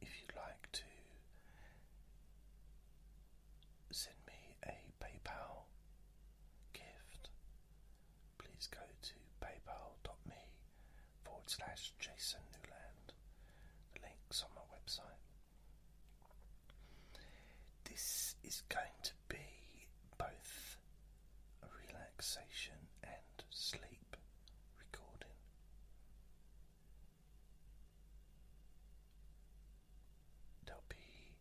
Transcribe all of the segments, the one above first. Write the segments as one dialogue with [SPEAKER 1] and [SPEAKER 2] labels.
[SPEAKER 1] If you'd like to send me a PayPal gift, please go to paypal.me forward The link's on my website. This is going to be both a relaxation and sleep recording. There'll be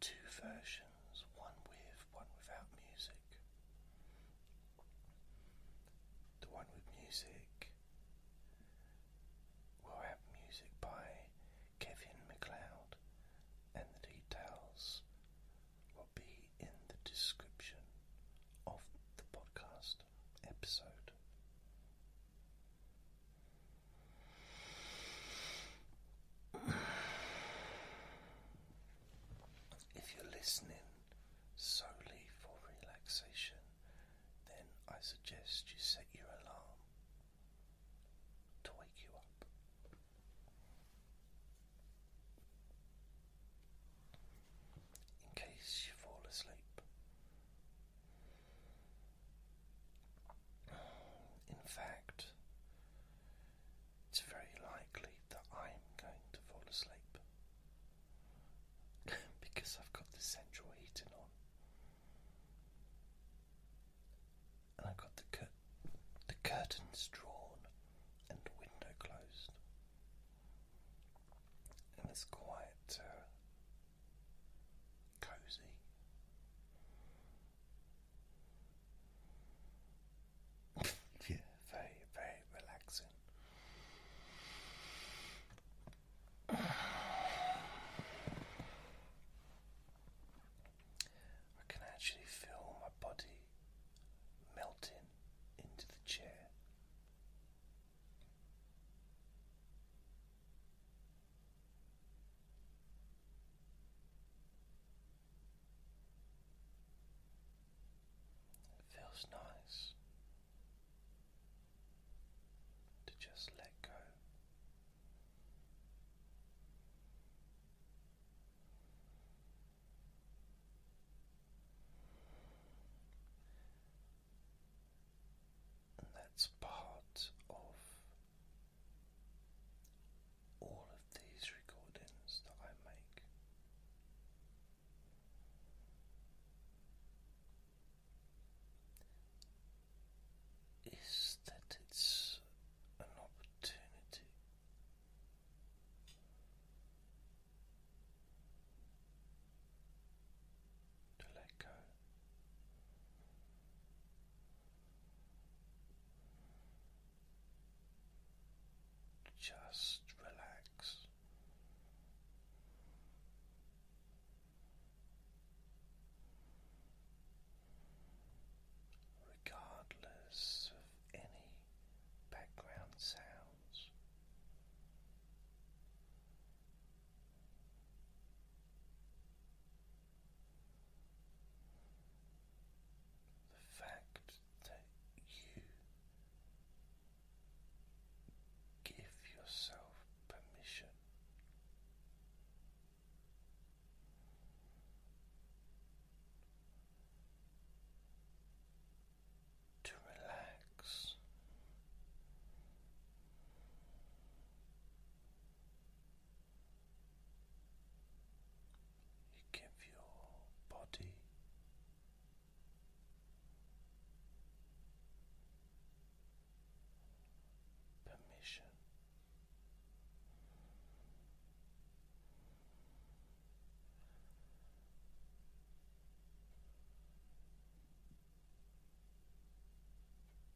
[SPEAKER 1] two versions, one with, one without music. The one with music will have music by Kevin McLeod, and the details will be in the description of the podcast episode. If you're listening solely for relaxation, then I suggest you set your alarm to wake you up. In case you fall asleep. In fact, it's very likely that I'm going to fall asleep because I've got the central heating on and I got the the curtains drawn and the window closed. And it's quite uh, cozy. yeah, very, very relaxing. I can actually feel my body melting into the chair. It feels nice to just let go and that's part of all of these recordings that I make is that it's an opportunity. To let go. Just relax regardless of any background sounds. The fact that you give yourself permission to relax. You give your body permission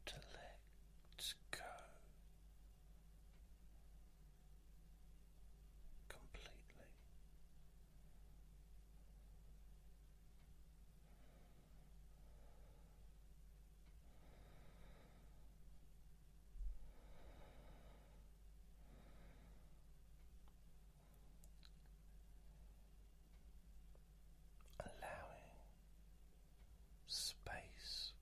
[SPEAKER 1] to let go completely. Allowing space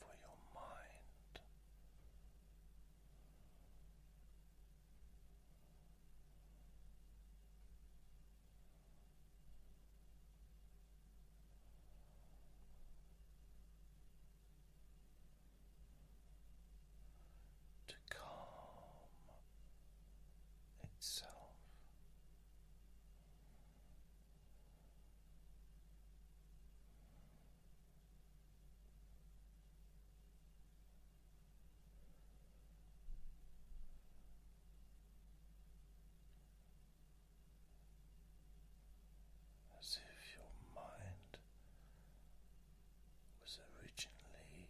[SPEAKER 1] for your mind. To calm itself, as if your mind was originally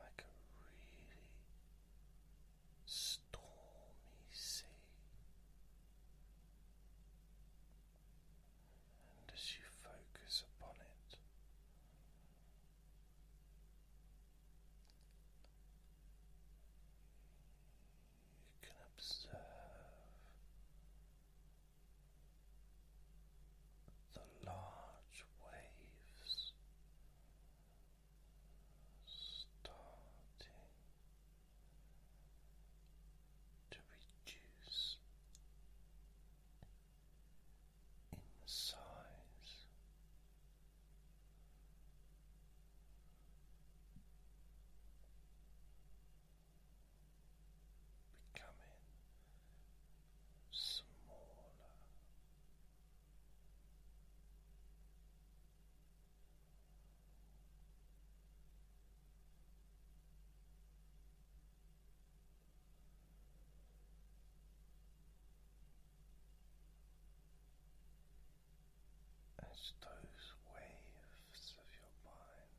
[SPEAKER 1] like a really stormy sea. And as you focus upon it, you can observe the large waves starting to reduce in size. Becoming smaller as those waves of your mind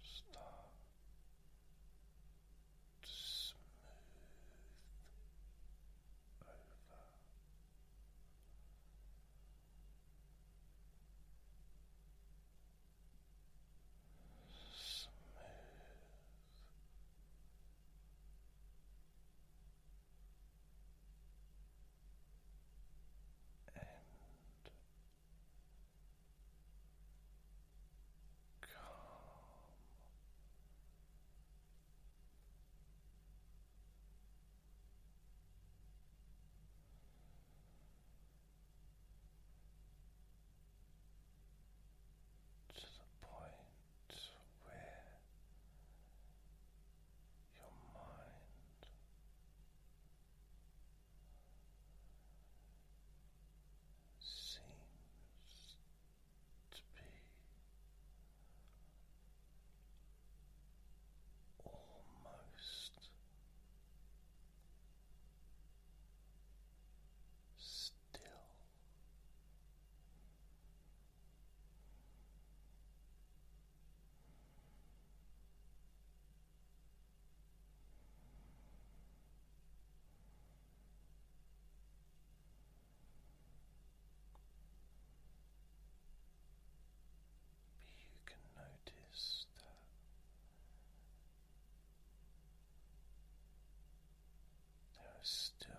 [SPEAKER 1] Start to smooth over. Smooth and to the point where your mind seems to be almost still. You can notice that there still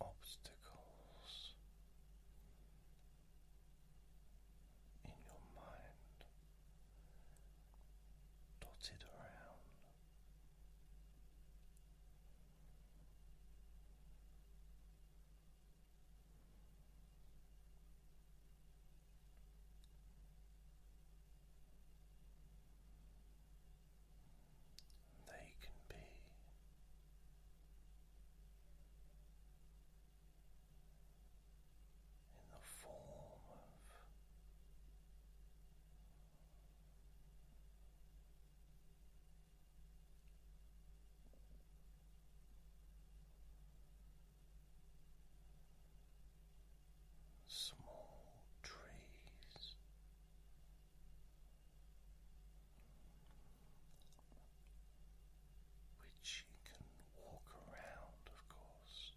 [SPEAKER 1] obstacles in your mind dotted around. They can be in the form of small trees. Which you can walk around, of course,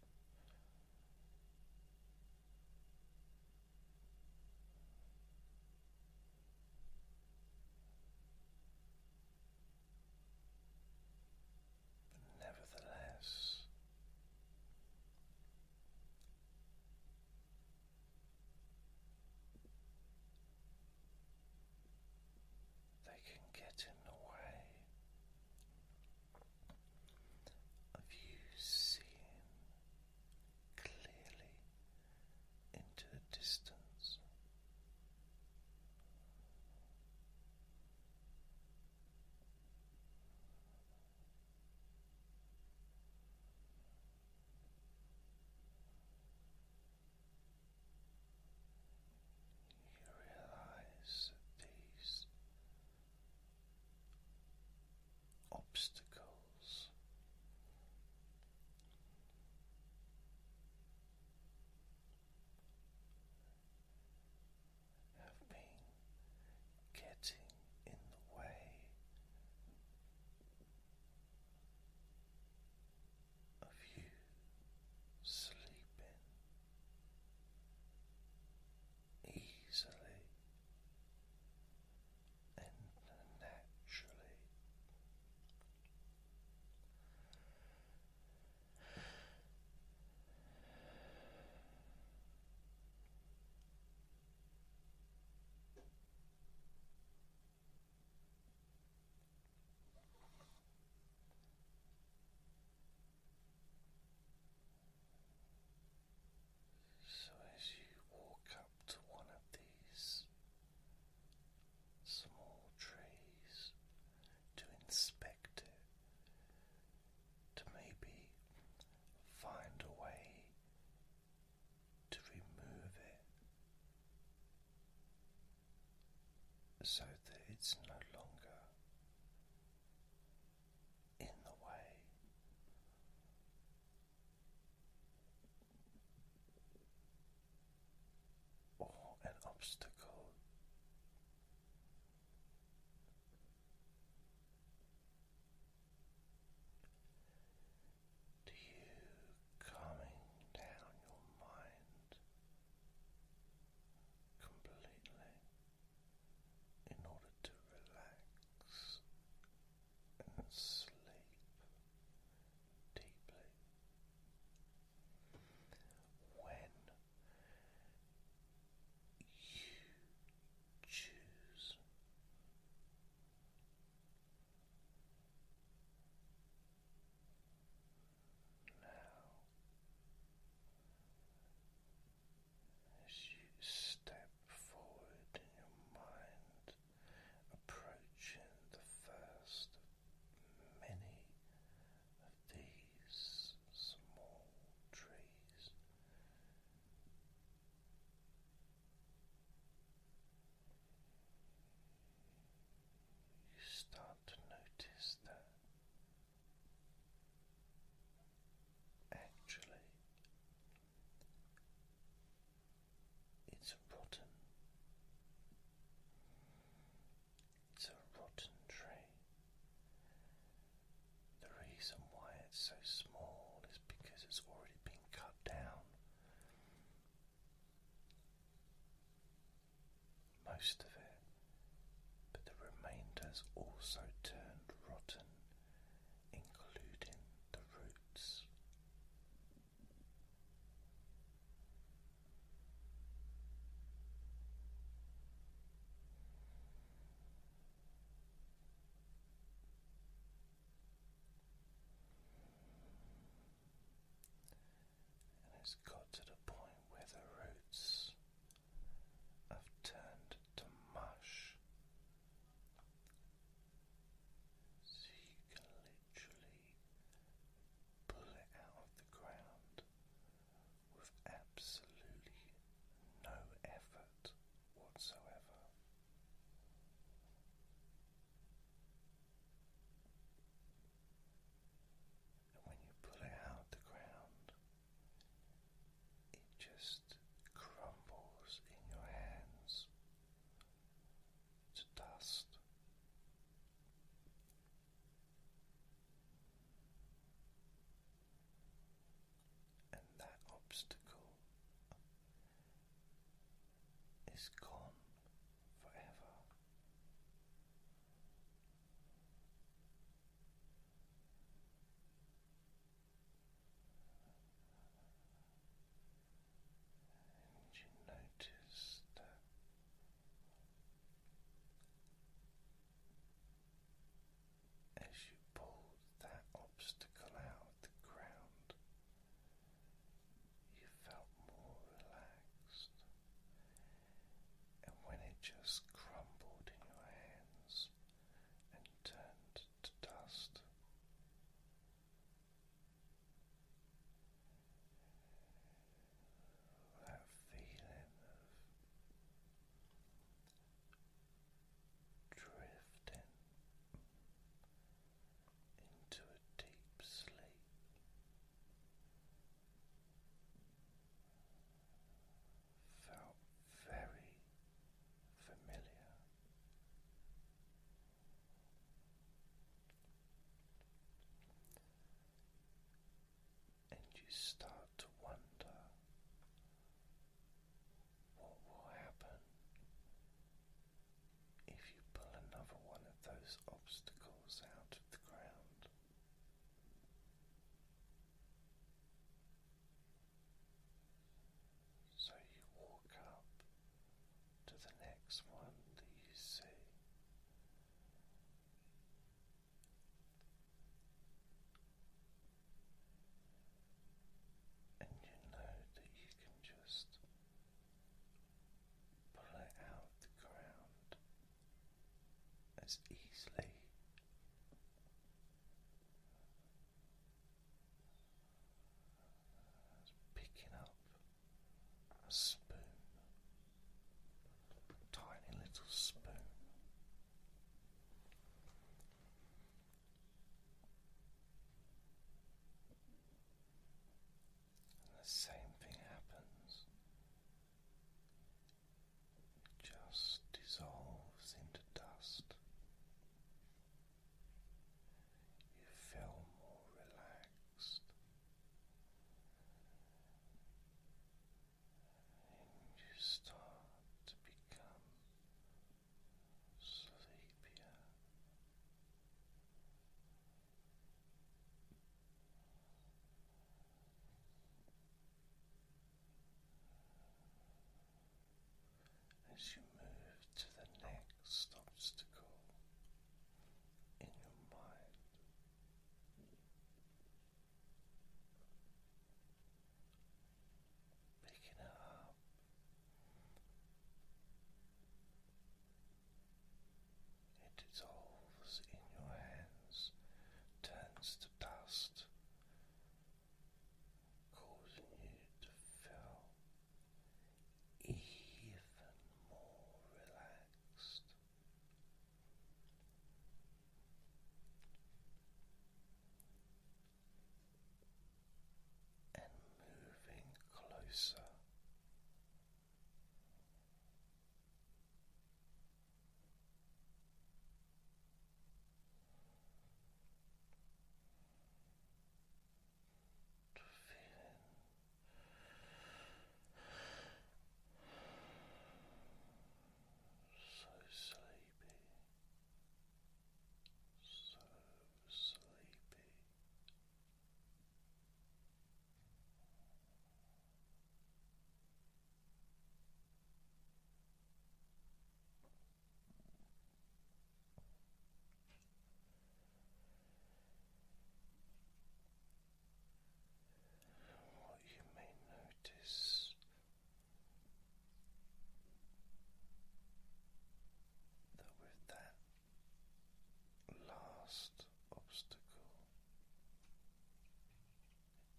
[SPEAKER 1] nevertheless, they can get in the way of you seeing clearly into the distance. You realize these obstacles have been getting in the way of you sleeping easily and naturally. So, as you walk up to one of these small trees to inspect. To maybe find a way to remove it so that it's no longer in the way. Or an obstacle to you calming down your mind completely in order to relax and sleep deeply. When you choose. Now, as you step forward in your mind, approaching the first many of these small trees. You start to notice that actually it's rotten, it's a rotten tree. The reason why it's so small is because it's already been cut down. Most of it, but the remainder's also turned rotten, including the roots. And it's got to the point where the roots have turned to mush. So you can literally pull it out of the ground with absolutely no effort whatsoever. And when you pull it out of the ground, it just crumbles in your hands to dust and that obstacle is gone forever. And you notice as you pull that obstacle out of the ground, you felt more relaxed, and when it just crumbled in your hands and turned to dust that feeling of drifting into a deep sleep. Felt very familiar and you start to wonder what will happen if you pull another one of those obstacles out of the ground. So you walk up to the next one that you see, and you know that you can just pull it out the ground as easily as picking up a spoon, tiny little spoon. the same thing happens. It just dissolves into dust. You feel more relaxed. And you start to become sleepier. As you move to the next obstacle, in your mind. Picking it up. It dissolves in your hands, turns to dust, causing you to feel even more relaxed and moving closer. To feeling so sleepy, so sleepy and what you may notice. That with that last obstacle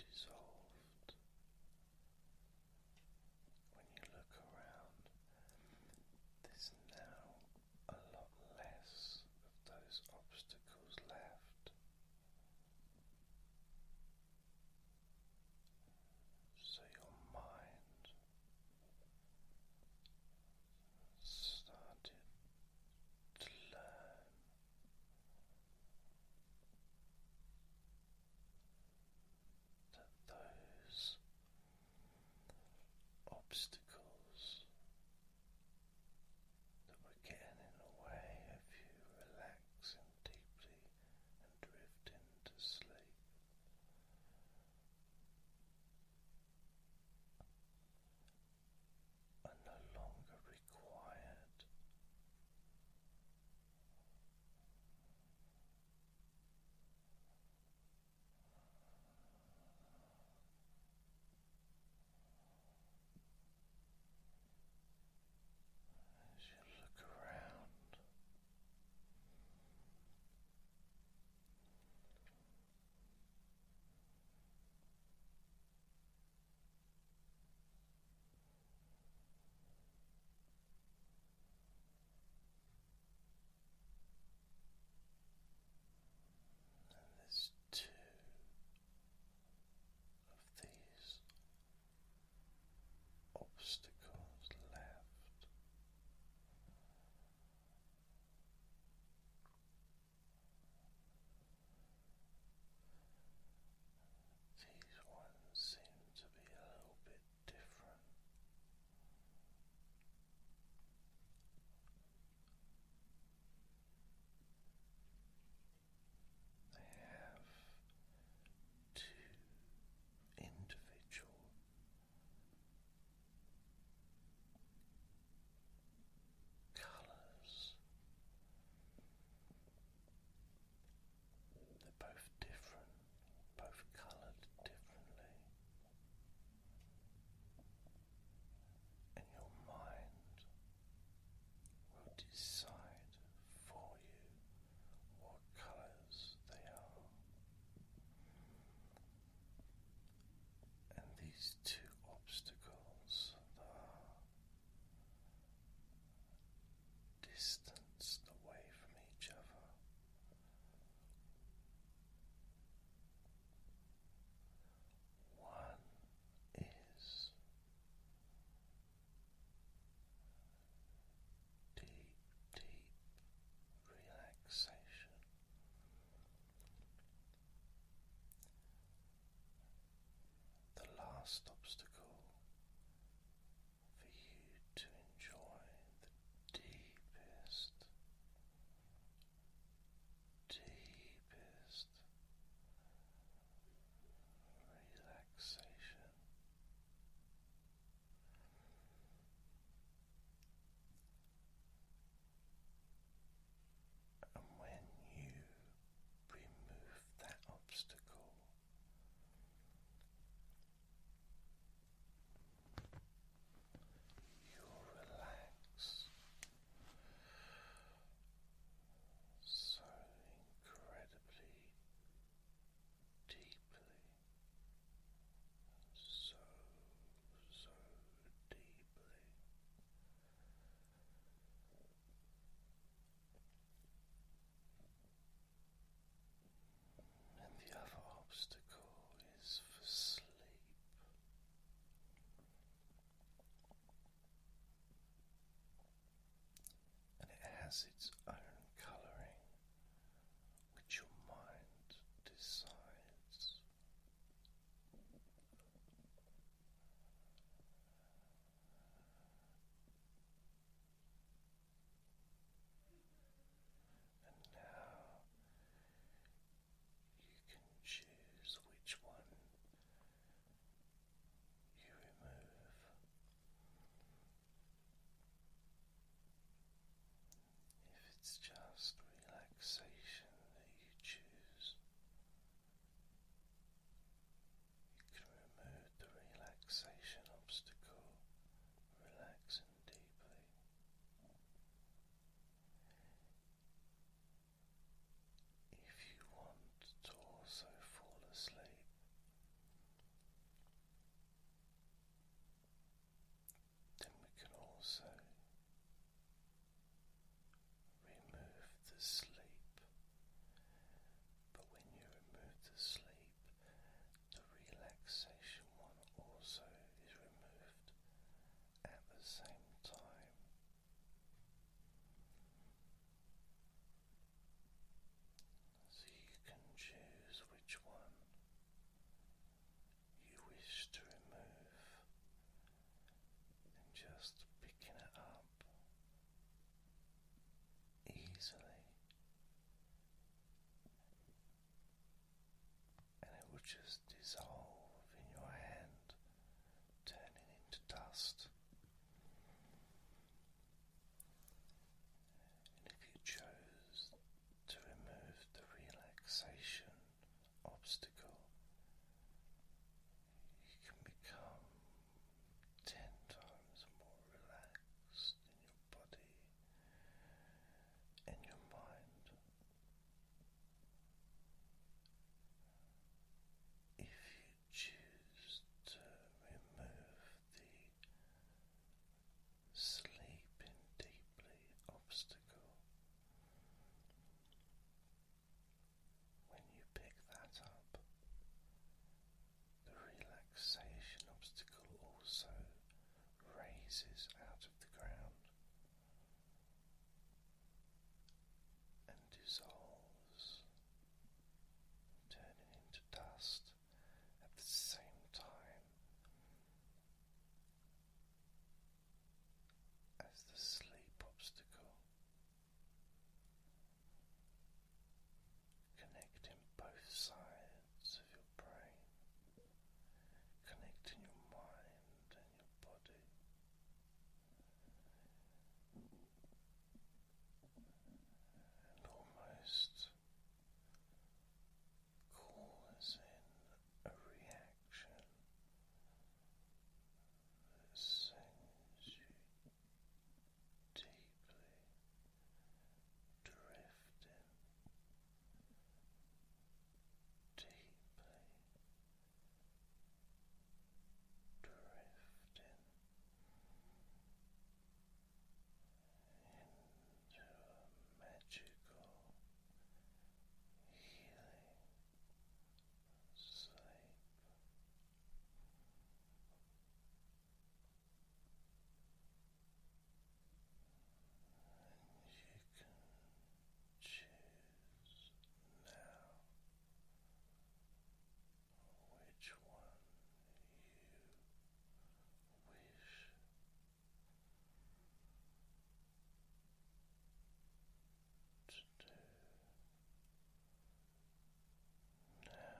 [SPEAKER 1] dissolved, when you look around, there's now a lot less of those obstacles left. So your mind started to learn that those obstacles that were getting in the way of you relaxing deeply and drifting to sleep. Are no longer required. As you look around, there's two of these obstacles left. These ones seem to be a little bit different. They have two individual colors. They're both different, both coloured differently and your mind will decide for you what colors they are. And these two obstacles are distanced away from each other one is deep, deep relaxation. The last obstacle for you to enjoy the deepest deepest relaxation. And when you remove that obstacle, you'll relax so incredibly deeply, so, so deeply. And the other obstacle is for sleep and it has its own colouring, which your mind decides. And now you can choose which one you remove. If it's just relaxation that you choose, you can remove the relaxation obstacle, relaxing deeply. If you want to also fall asleep, then we can also remove the sleep. But when you remove the sleep, the relaxation one also is removed at the same time. So you can choose which one you wish to remove and just picking it up easily and it will just dissolve in your hand, turning into dust. And if you chose to remove the relaxation obstacle, you can become ten times more relaxed in your body and your mind. If you choose to remove the sleeping deeply obstacle, when you pick that up, the relaxation obstacle also raises out of the ground and dissolves, turning into dust at the same time as the sleep obstacle. Connecting both sides of your brain, connecting your mind your And almost calls a reaction sends you deeply drifting deeply drifting into a magical healing sleep. And you can choose now which one you wish. To do now.